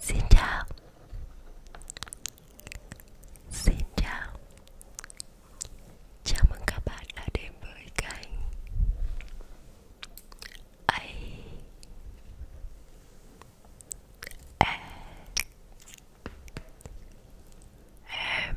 Xin chào Xin chào Chào mừng các bạn đã đến với kênh A A M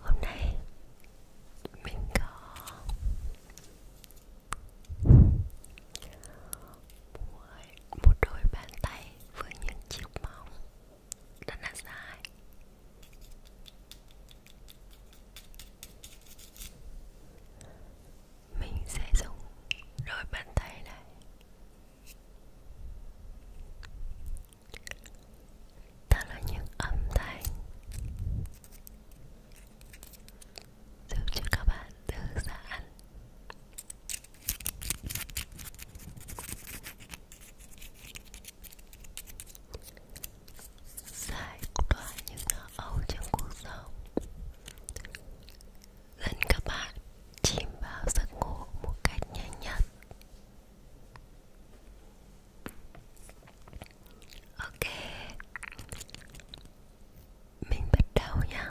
Hôm nay mình có mua một đôi bàn tay với những chiếc móng rất là dài. Mình sẽ dùng đôi bàn tay này đó là những âm thanh giúp cho các bạn thư giãn Giải tỏa những lo âu trong cuộc sống Dẫn các bạn chìm vào giấc ngủ một cách nhanh nhất Ok Mình bắt đầu nha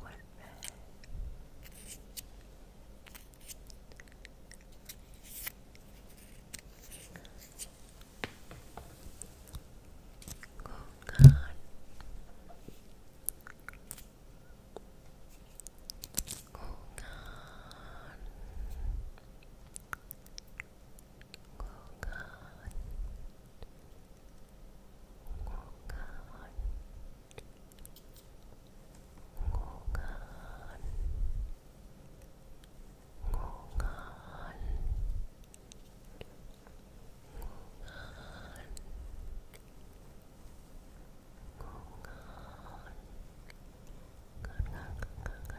What red? Oh God. Oh God. Oh God. Ngủ ngon Ngủ ngon Ngủ ngon Ngủ ngon Ngon ngon ngon ngon ngon ngon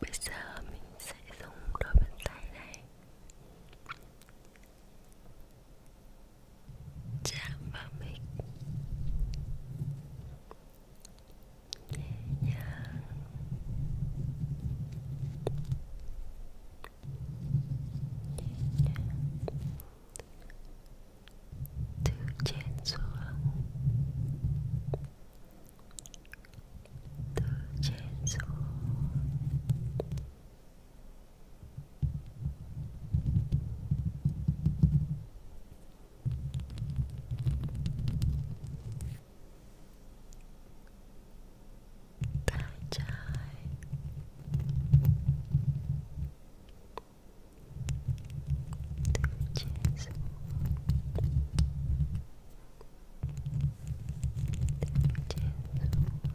Bây giờ mình sẽ dùng đôi bàn tay này chạm vào mic nhẹ nhàng từ trên xuống từ trên xuống Tay trái từ trên xuống từ trên xuống từ trên xuống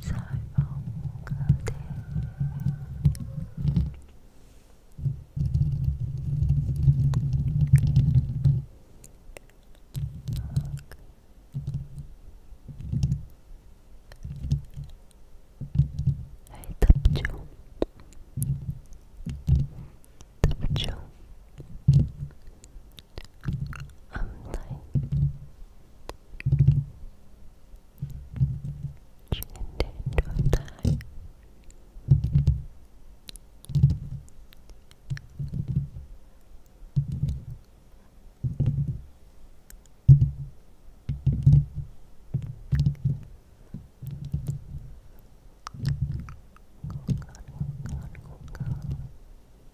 giải phóng cơ thể Hãy tập trung tập trung âm thanh chuyển đến đôi tai Ngủ ngon, ngủ ngon, ngủ ngon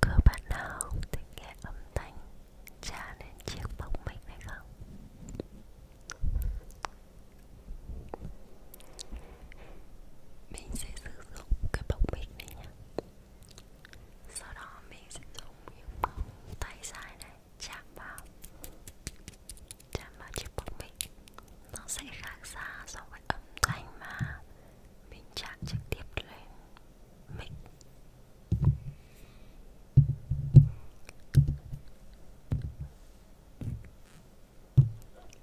Có bạn nào thích nghe âm thanh trả lên chiếc bóng mình hay không? Mình sẽ sử dụng cái bóng mic này nhé Sau đó mình sẽ dùng những bóng tay dài này chạm vào chạm vào chiếc bóng mic nó sẽ khác xa so với âm thanh mà mình chạm trực tiếp lên mic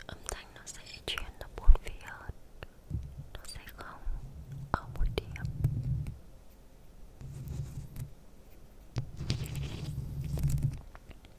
âm thanh nó sẽ chuyển nó bốn phía hơn nó sẽ không ở một điểm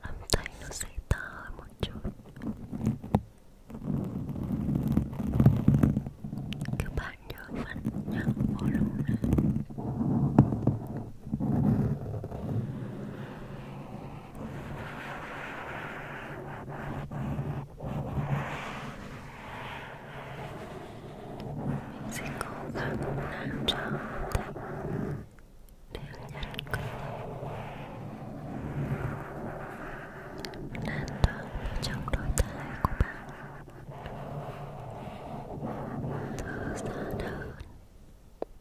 âm thanh nó sẽ to hơn một chút các bạn nhớ vặn nhắc volume lên mình sẽ cố gắng làm cho tất đều nhận cơ thể an toàn trong đôi tay của bạn thở ra đớn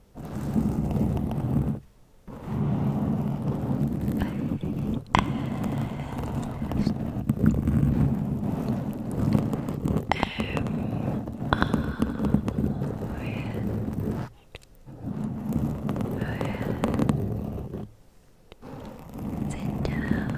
Sit down. Just sit down.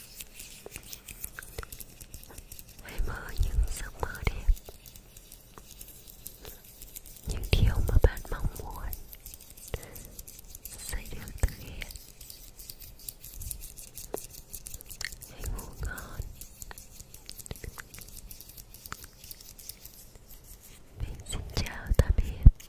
Hãy mơ những giấc mơ đẹp Những điều mà bạn mong muốn Sẽ được thực hiện Hãy ngủ ngon Mình xin chào tạm biệt